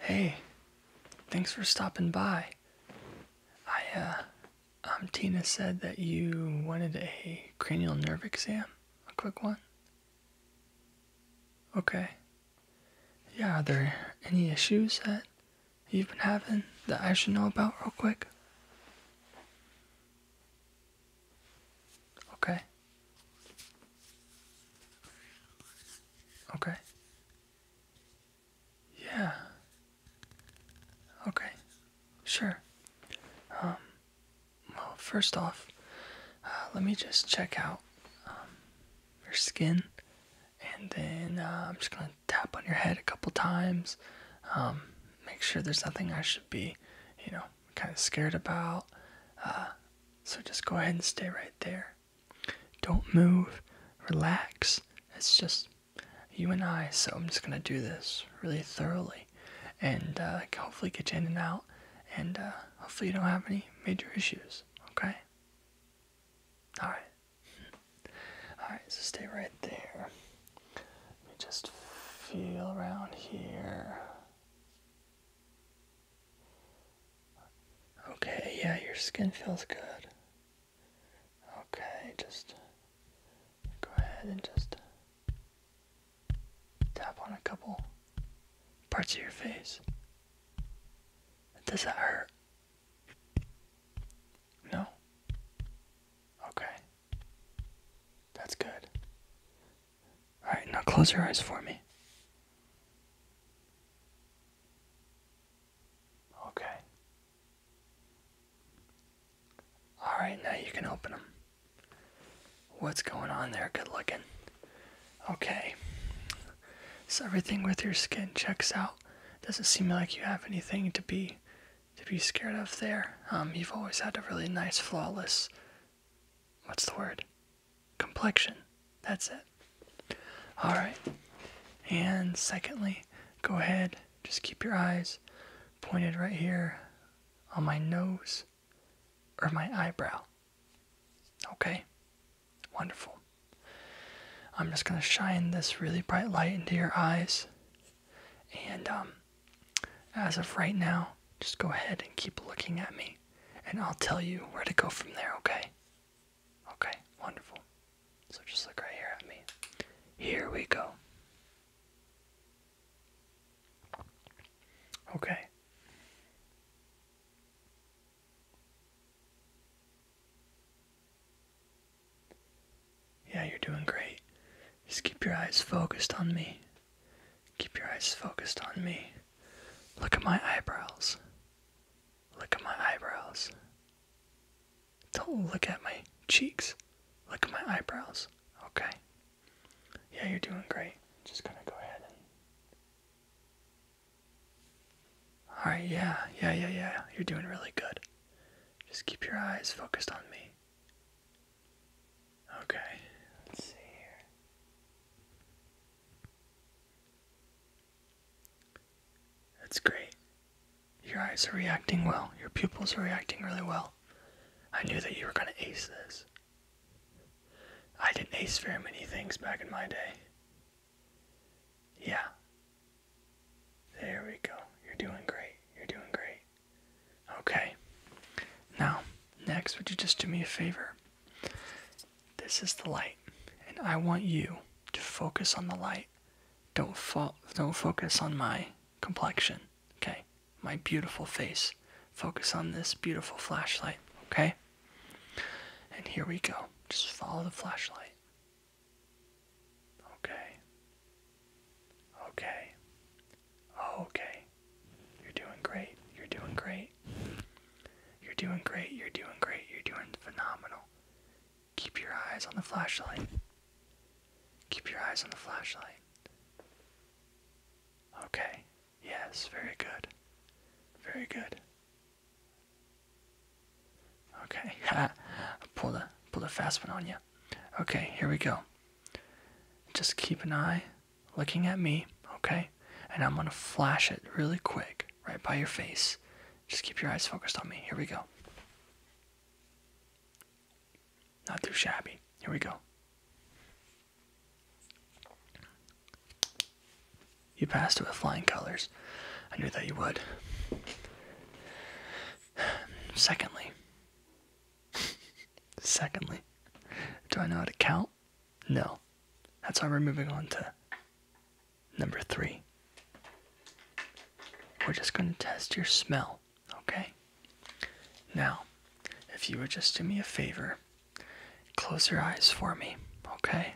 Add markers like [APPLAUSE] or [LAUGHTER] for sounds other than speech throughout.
Hey, thanks for stopping by. I, uh, um, Tina said that you wanted a cranial nerve exam, a quick one. Okay. Yeah, are there any issues that you've been having that I should know about real quick? Okay. Okay. Yeah. Okay. Sure. Um, well, first off, uh, let me just check out um, your skin, and then uh, I'm just gonna tap on your head a couple times. Um, make sure there's nothing I should be, you know, kind of scared about. Uh, so just go ahead and stay right there. Don't move. Relax. It's just you and I. So I'm just gonna do this really thoroughly, and uh, hopefully get you in and out, and uh, hopefully you don't have any major issues. Okay. All right. All right. So stay right there. Let me just feel around here. Okay, yeah, your skin feels good. Okay, just go ahead and just tap on a couple parts of your face. Does that hurt? No? Okay. That's good. Alright, now close your eyes for me. Okay. Alright, now you can open them. What's going on there? Good looking. Okay. So everything with your skin checks out. Doesn't seem like you have anything to be to be scared of there. Um, you've always had a really nice, flawless. What's the word? complexion. That's it. All right. And secondly, go ahead, just keep your eyes pointed right here on my nose or my eyebrow. Okay? Wonderful. I'm just going to shine this really bright light into your eyes. And um, as of right now, just go ahead and keep looking at me and I'll tell you where to go from there, okay? Okay, wonderful. So just look right here at me. Here we go. Okay. Yeah, you're doing great. Just keep your eyes focused on me. Keep your eyes focused on me. Look at my eyebrows. Look at my eyebrows. Don't look at my cheeks. Look at my eyebrows. Okay? Yeah, you're doing great. Just gonna go ahead Alright, yeah, yeah, yeah, yeah. You're doing really good. Just keep your eyes focused on me. Okay, let's see here. That's great. Your eyes are reacting well. Your pupils are reacting really well. I knew that you were going to ace this. I did ace very many things back in my day. Yeah. There we go. You're doing great. You're doing great. Okay. Now, next, would you just do me a favor? This is the light, and I want you to focus on the light. Don't fo don't focus on my complexion, okay? My beautiful face. Focus on this beautiful flashlight, okay? And here we go. Just follow the flashlight. Okay. Okay. Okay. You're doing great. You're doing great. You're doing great. You're doing great. You're doing phenomenal. Keep your eyes on the flashlight. Keep your eyes on the flashlight. Okay. Yes, very good. Very good. Okay. [LAUGHS] pull a pull the fast one on you. Okay, here we go. Just keep an eye looking at me, okay? And I'm gonna flash it really quick, right by your face. Just keep your eyes focused on me. Here we go. Not too shabby. Here we go. You passed it with flying colors. I knew that you would. [SIGHS] Secondly, [LAUGHS] secondly, do I know how to count? No. That's why we're moving on to number three. We're just going to test your smell, okay? Now, if you would just do me a favor, close your eyes for me, okay?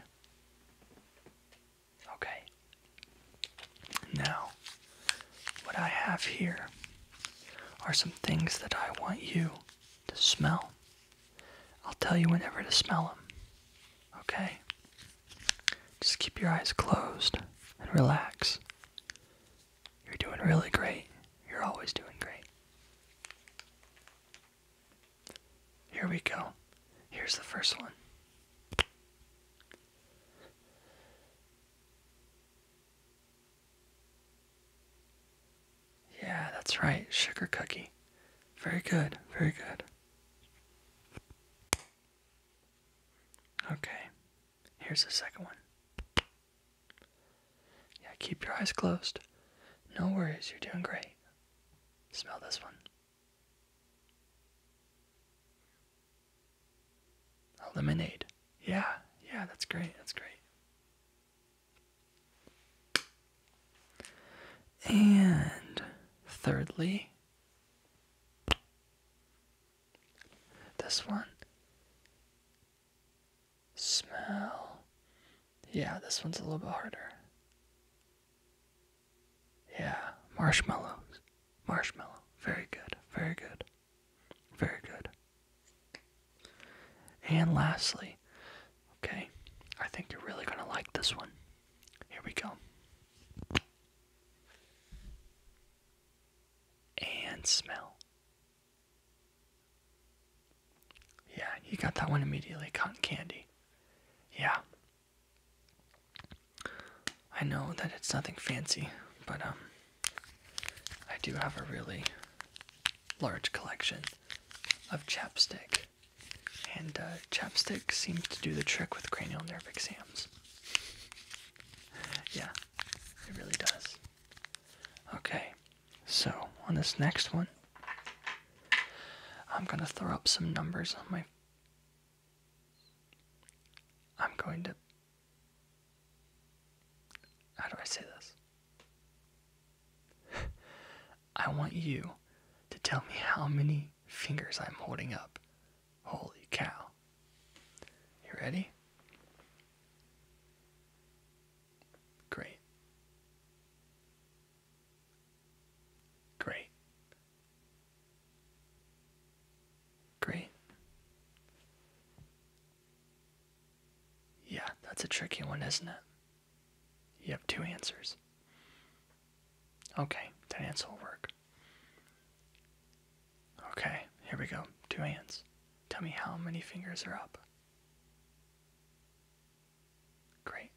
Okay. Now, what I have here are some things that I want you to smell, I'll tell you whenever to smell them. Okay? Just keep your eyes closed and relax. You're doing really great. You're always doing great. Here we go. Here's the first one. Yeah, that's right. Sugar cookie. Very good. Very good. Okay. Here's the second one. Yeah, keep your eyes closed. No worries. You're doing great. Smell this one. lemonade. Yeah, yeah, that's great. That's great. And thirdly, this one. Smell. Yeah, this one's a little bit harder. Yeah, marshmallows. Marshmallow. Very good. Very good. Very good. And lastly, okay, I think you're really going to like this one. Here we go. And smell. Yeah, you got that one immediately. Cotton candy. Yeah. I know that it's nothing fancy, but um, I do have a really large collection of chapstick, and uh, chapstick seems to do the trick with cranial nerve exams. Yeah, it really does. Okay, so on this next one, I'm gonna throw up some numbers on my. I'm going to. How do I say this? [LAUGHS] I want you to tell me how many fingers I'm holding up. Holy cow. You ready? Great. Great. Great. Yeah, that's a tricky one, isn't it? You have two answers. Okay, that answer will work. Okay, here we go. Two hands. Tell me how many fingers are up. Great.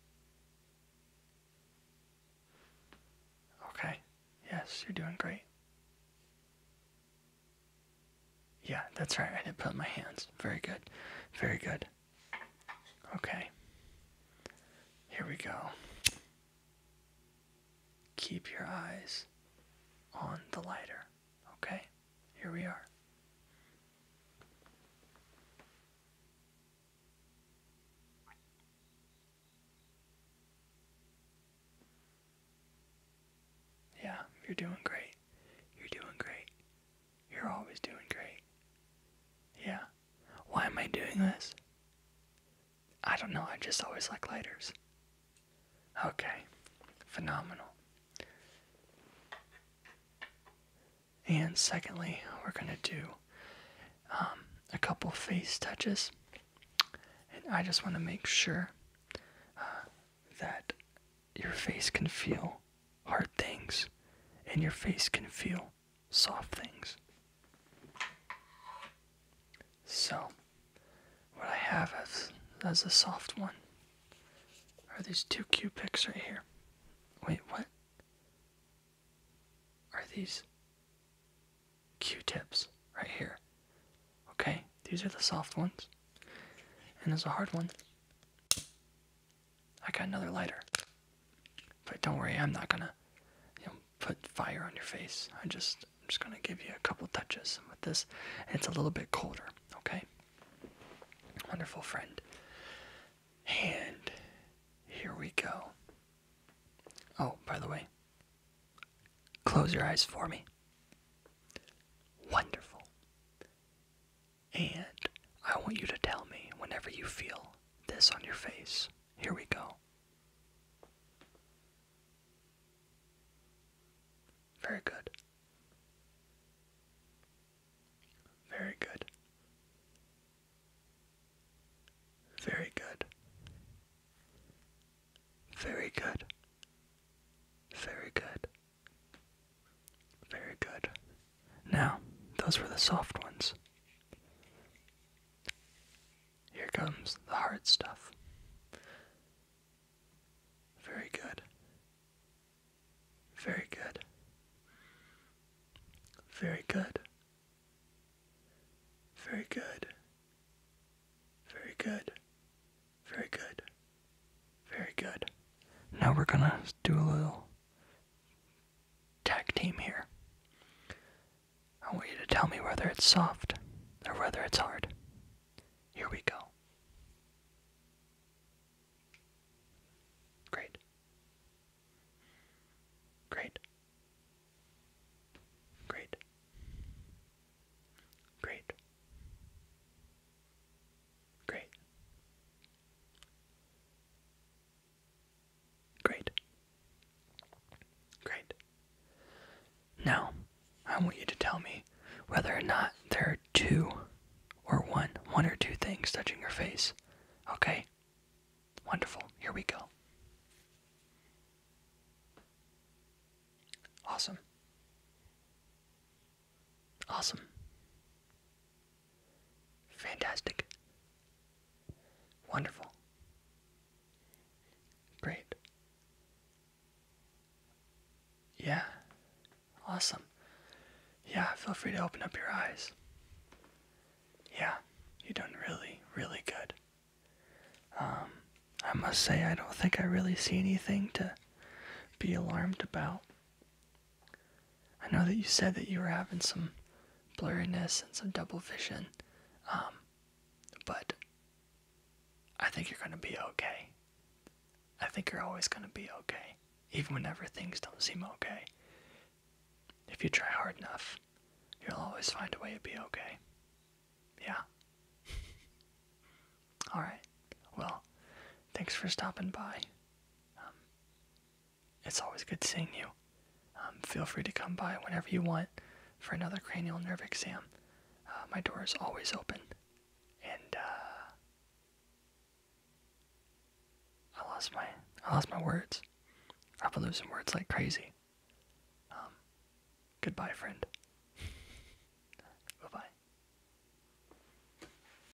Okay, yes, you're doing great. Yeah, that's right. I did put my hands. Very good. Very good. Okay. Here we go. Keep your eyes on the lighter. Okay? Here we are. Yeah, you're doing great. You're doing great. You're always doing great. Yeah. Why am I doing this? I don't know, I just always like lighters. Okay, phenomenal. And secondly, we're gonna do um, a couple face touches. And I just wanna make sure uh, that your face can feel hard things, and your face can feel soft things. So, what I have as, as a soft one are these two q cubics right here. Wait, what? Are these Q-tips right here? Okay, these are the soft ones. And there's a hard one I got another lighter. But don't worry, I'm not gonna, you know, put fire on your face. I just, am just gonna give you a couple touches with this. And it's a little bit colder, okay? Wonderful friend. And here we go. Oh, by the way, close your eyes for me. Wonderful. And I want you to tell me whenever you feel this on your face. Here we go. Very good. Very good. Very good. Very good. Very good. Very good. Now, those were the soft ones. Here comes the hard stuff. Very good. Very good. Very good. Very good. Very good. Very good. Very good. Now we're gonna do a little tag team here. I want you to tell me whether it's soft or whether it's hard. Here we go. Great. Great. Great. Great. Great. Great. Great. Now, I want you to tell me whether or not there are two or one, one or two things touching your face. Okay? Wonderful. Here we go. Awesome. Awesome. Fantastic. Wonderful. Great. Yeah. Awesome. Yeah, feel free to open up your eyes. Yeah, you've done really, really good. Um, I must say, I don't think I really see anything to be alarmed about. I know that you said that you were having some blurriness and some double vision, um, but I think you're going to be okay. I think you're always going to be okay, even whenever things don't seem okay. If you try hard enough, you'll always find a way to be okay. Yeah. [LAUGHS] Alright. Well, thanks for stopping by. Um, it's always good seeing you. Um, feel free to come by whenever you want for another cranial nerve exam. Uh, my door is always open. And uh, I lost my I lost my words. I've been losing words like crazy. Um, goodbye, friend. [LAUGHS] bye bye.